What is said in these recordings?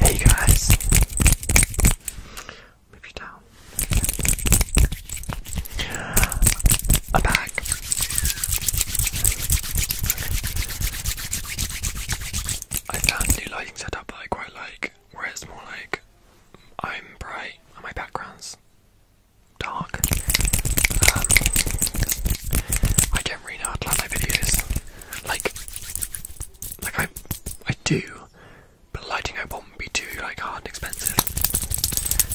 Hey guys, move you down. I'm back. I can do lighting setup that I quite like, where it's more like I'm bright on my background's dark. Um, I don't really know how my videos. Like, like I, I do, but lighting I won't be too like hard and expensive.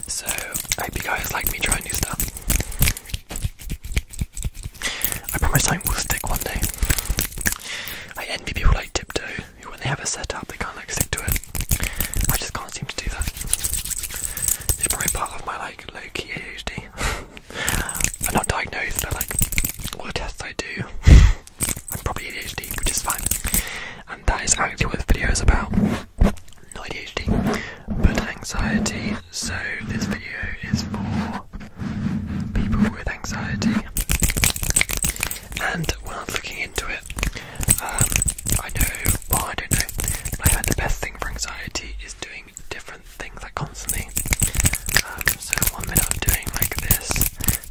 So I hope you guys like me trying new stuff. I promise something will stick one day. I envy people like Tiptoe, who when they have a setup, they can't like stick to it. I just can't seem to do that. It's probably part of my like low key ADHD. I'm not diagnosed, but like all the tests I do, I'm probably ADHD, which is fine. And that is actually what this video is about. Not ADHD, but anxiety. So this video is for people with anxiety. And when I was looking into it, um, I know, well, I don't know, but I heard the best thing for anxiety is doing different things like constantly. Um, so one minute I'm doing like this,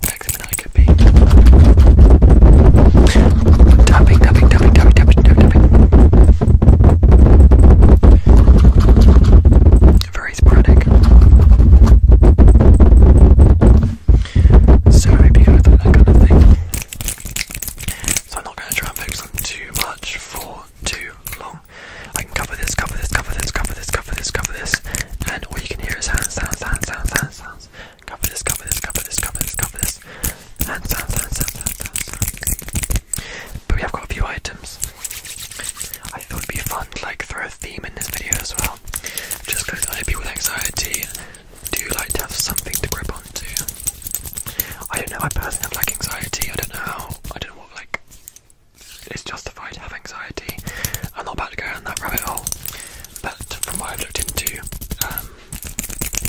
next minute I could be tapping, tapping, tapping, tapping, tapping, tapping, Very sporadic. So I hope that kind of thing. So I'm not going to try and focus too much for too long. I can cover this, cover this, cover this, cover this, cover this, cover this, and all you can hear is hands, sounds, hands, sounds, hands, sounds. Cover this, cover this, cover this, cover this, cover this, hands, sounds, hands, sounds, hands, sounds. But we have got a few items. I thought it'd be fun to like throw a theme in this video as well. Just because I know with anxiety do like to have something to grip onto. I don't know. I personally have like anxiety. I don't know how. I don't know what like is justified to have anxiety. I'm not about to go down that rabbit hole, but from what I've looked into, um,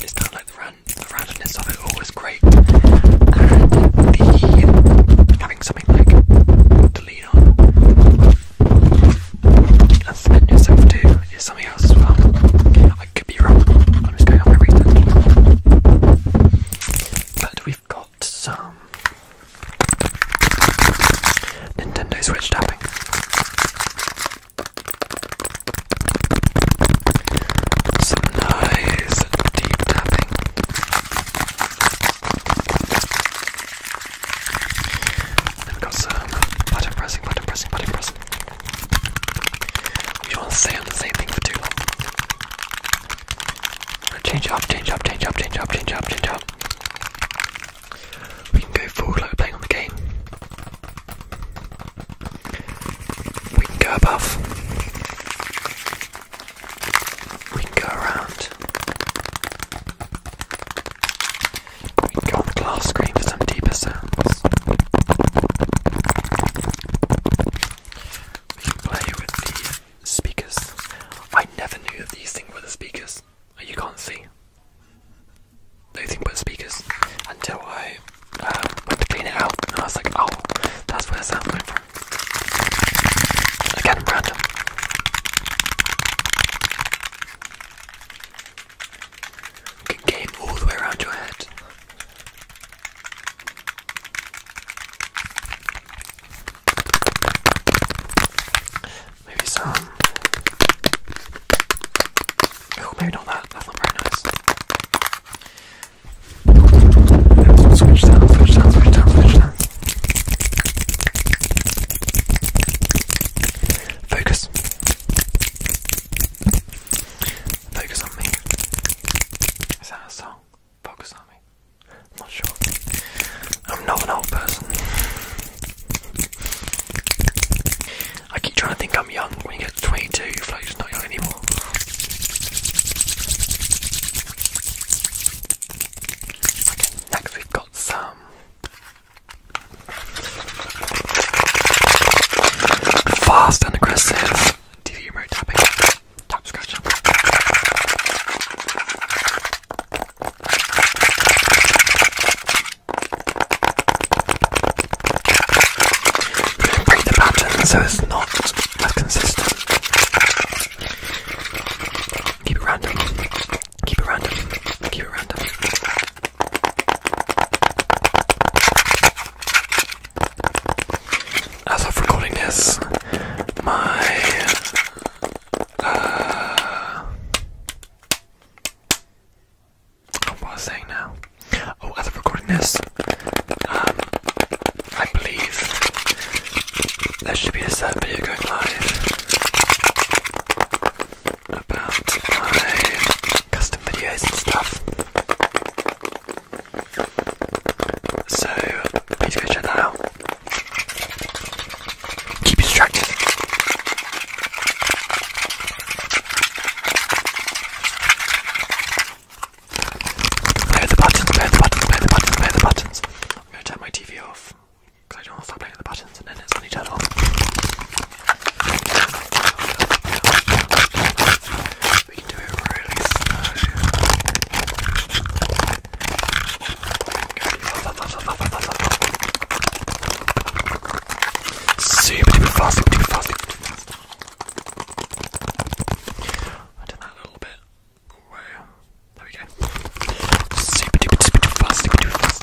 it's kind of like the, ran the randomness of it all is great, and the having something like to lean on and submit yourself to is something else as well. I I could be wrong. am just going on But we've got some Nintendo Switch tapping. Some nice deep tapping. Then we've got some button pressing, button pressing, button pressing. You want to stay the same thing for too long. Change up, change up, change up, change up, change up, change up. We can go forward like we're playing on the game. We can go above. We can go around. We can go on the glass screen for some deeper sounds. We can play with the speakers. I never knew that these things were the speakers. Oh, you can't see. Nothing but speakers until I uh, went to clean it out, and I was like, oh, that's where the sound came from. Again, random. Game all the way around your head. Maybe some. Oh, maybe not that. That's not very nice. Switch down, switch down, switch down, switch down. Focus. Focus on me. Is that a song? Focus on me. not sure. I'm not an old person. I keep trying to think I'm young when you get 22, you're not young anymore. Okay, next we've got some. Fast and aggressive TV remote tapping, tap scratching. Break the pattern so it's not as consistent. Keep it random. Keep it random. Keep it random. As of recording this, my uh, oh, what was I saying now? Oh, as of recording this, um, I believe there should be a set video going live about my custom videos and stuff. So please go check that out. Keep you distracted. Play the buttons, play the buttons, play the buttons, play the buttons. I'm gonna turn my TV off because I don't want to start playing the buttons and then it's only turned we can do it really fast, super duper fast, super duper fast. I did that a little bit. There we go. Super duper super duper fast.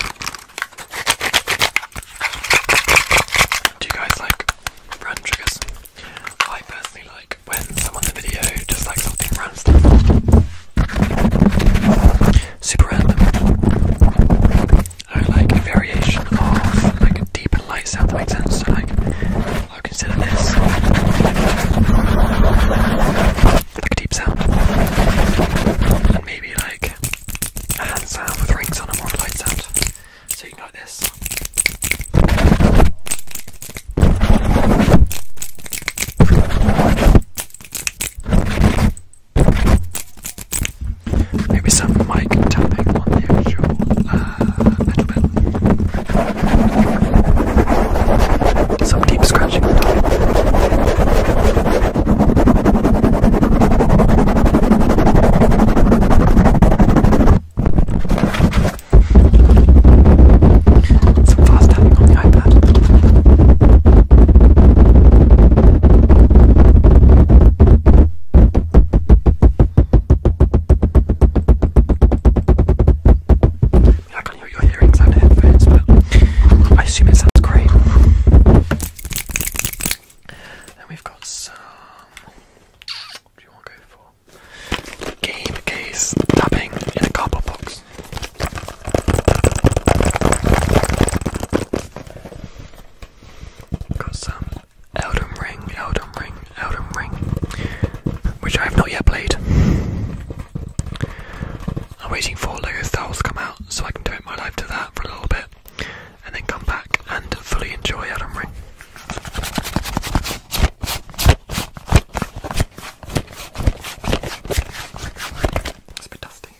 Do you guys like brand triggers? I personally like when someone in the video just like something random, super random. I like a variation of like a deep and light sound that makes sense. So like, i consider this like a deep sound, and maybe like a hand sound with rings on a light sound. So you can this. Maybe some mic tapping on the actual uh, metal pedal. Some deep scratching some fast tapping on the iPad. I can hear your hearings and headphones, but I assume it sounds great. Then we've got some do you want to go for? Game case tapping in a cardboard box. Got some Elden Ring, Elden Ring, Elden Ring, which I have not yet played. I'm waiting for Lego Star to come out so I can devote my life to that for a little bit and then come back and fully enjoy Adam Ring. It's a bit dusty.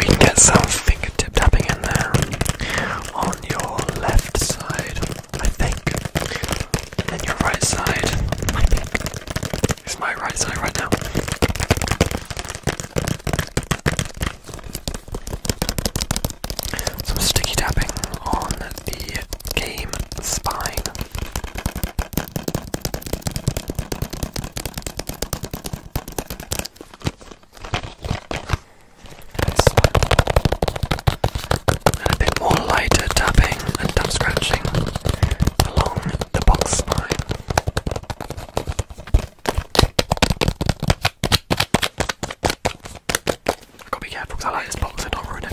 We get some fingertip tapping in there on your left side. I think. And your right side, I think, is my right side right now. Some sticky tapping on the game spine and a bit more lighter tapping and tap scratching along the box spine. i got to be careful because I like this box and not ruin it.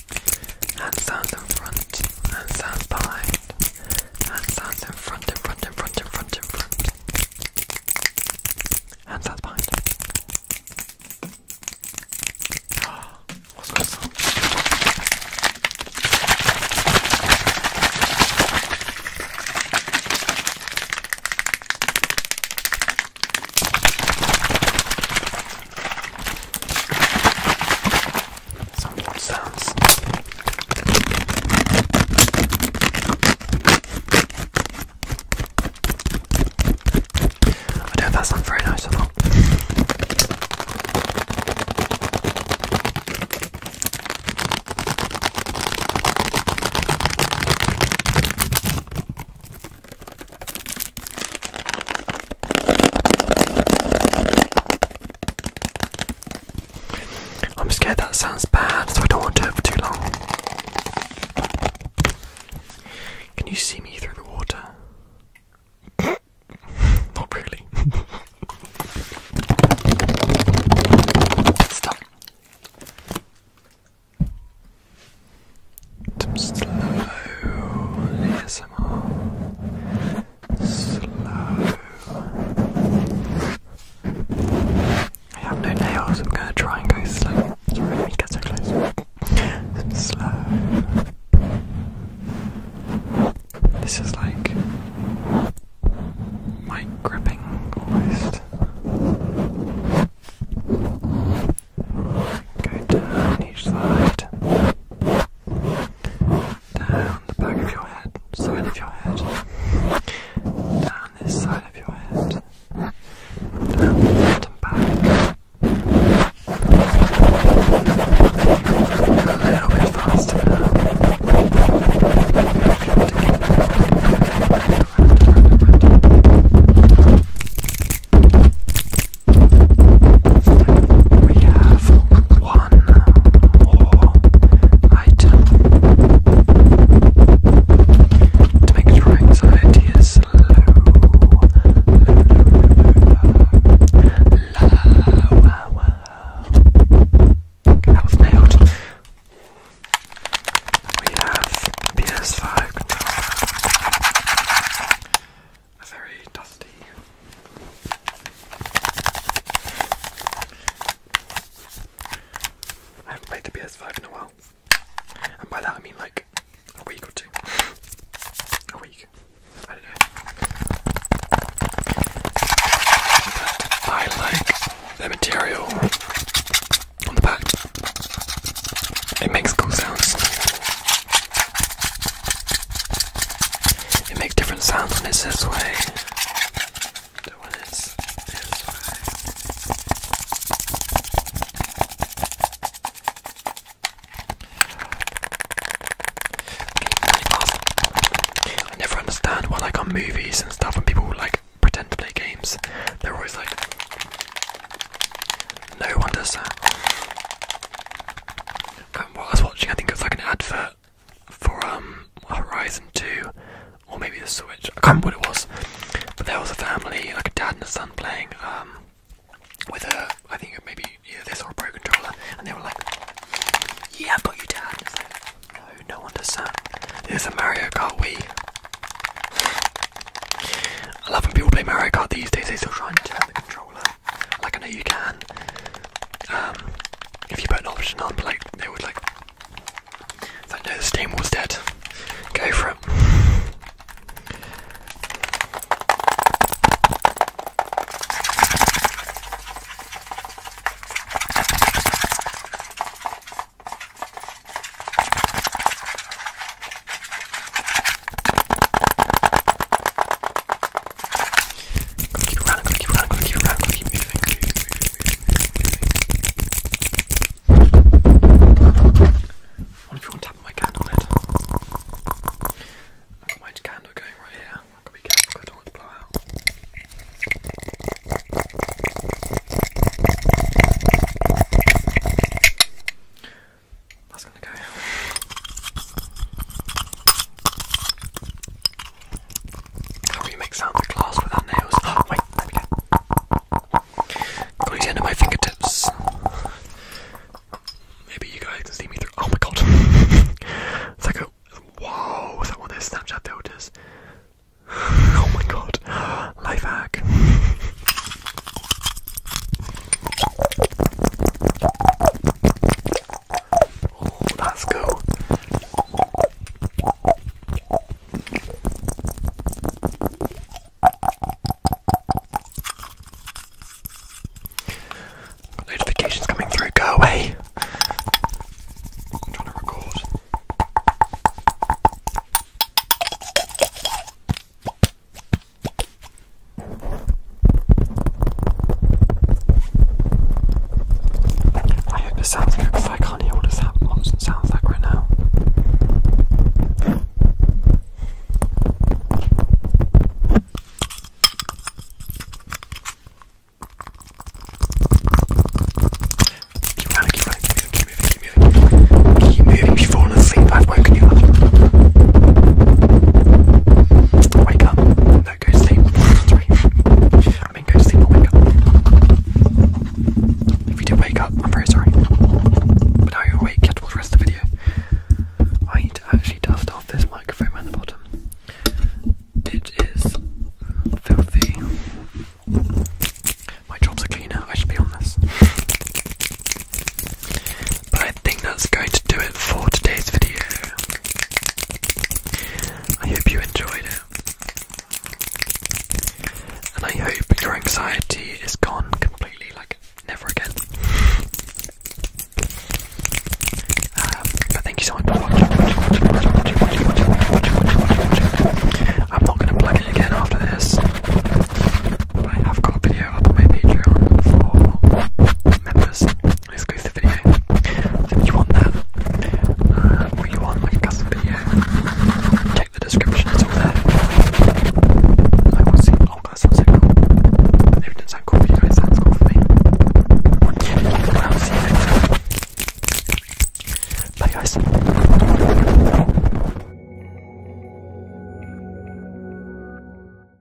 Hands sounds in front, Hands sounds behind, Hands sounds in front, in front, in front, in front, in front, and behind. what's that sound? Some wood sounds. I don't know that sounds very nice or not. I'm scared that sounds bad, so I don't want to for too long. Can you see me through the water? Not really. Stop. Some slow ASMR. Slow. I have no nails, I'm gonna try and go slow. Sorry, let me so close. slow. This is like mic gripping almost. Go down each side. Down the back of your head, side of your head. Down this side of your head. Down the front and back. A little bit faster now. Round, round, round, round. We have one more item to make sure anxiety is low, low, low, low, low, low. That was nailed. We have PS5 are very dusty. I haven't played the PS5 in a while. And by that I mean like a week or two. A week. I like the material on the back. It makes cool sounds. It makes different sounds when it's this way than when it's this way. I never understand why, like on movies and stuff, when people like pretend to play games, they're always like, "No one does that." But um, I was watching, I think it was like an advert for um, Horizon 2 or maybe the Switch. I can't remember what it was. But there was a family, like a dad and a son, playing um, with a I think maybe either this or a pro controller, and they were like, "Yeah, I've got you, dad." no, no one does There's a Mario Kart Wii. I love when people play Mario Kart these days. They still try and turn the controller. Like I know you can. Um, if you put an option on, like they would like. It's know the steam was dead. Go for it. Gonna keep running, gonna keep running, gonna keep running, gonna keep moving, moving, moving, moving, moving. What if you want to tap my candle lid? I've got my candle going right here. I've got to be careful I don't want to blow out. How do you make sound of glass without nails? Oh, wait, there we go. Got the end my fingertips. Maybe you guys can see me through. Oh my god. it's like a. Whoa, is that one of those Snapchat filters? oh my god. Life hack. Oh, let's go. Got notifications coming through, go away. I'm trying to record. I hope this sounds good because I can't hear what it sounds like right now. Keep running, keep running, keep moving, keep moving, keep moving. Keep moving before falling asleep, I've woken you up wake up. go sleep. I mean, go sleep or wake up. If you do wake up, I'm very sorry. But now you're awake, you have to the rest of the video. I need to actually dust off this microphone around the bottom. It is filthy. My job's a cleaner, I should be on this. But I think that's going to do it for today's video. I hope you enjoyed it. And I hope your anxiety is gone completely, like never again. Um, but thank you so much for watching. I'm not going to plug it again after this. But I have got a video on my Patreon for members exclusive video. So if you want that, uh, or you want like a custom video, check the description, it's all there. I will see, oh that sounds so cool. If it didn't sound cool for you sounds cool for me. I'll see you next Bye guys.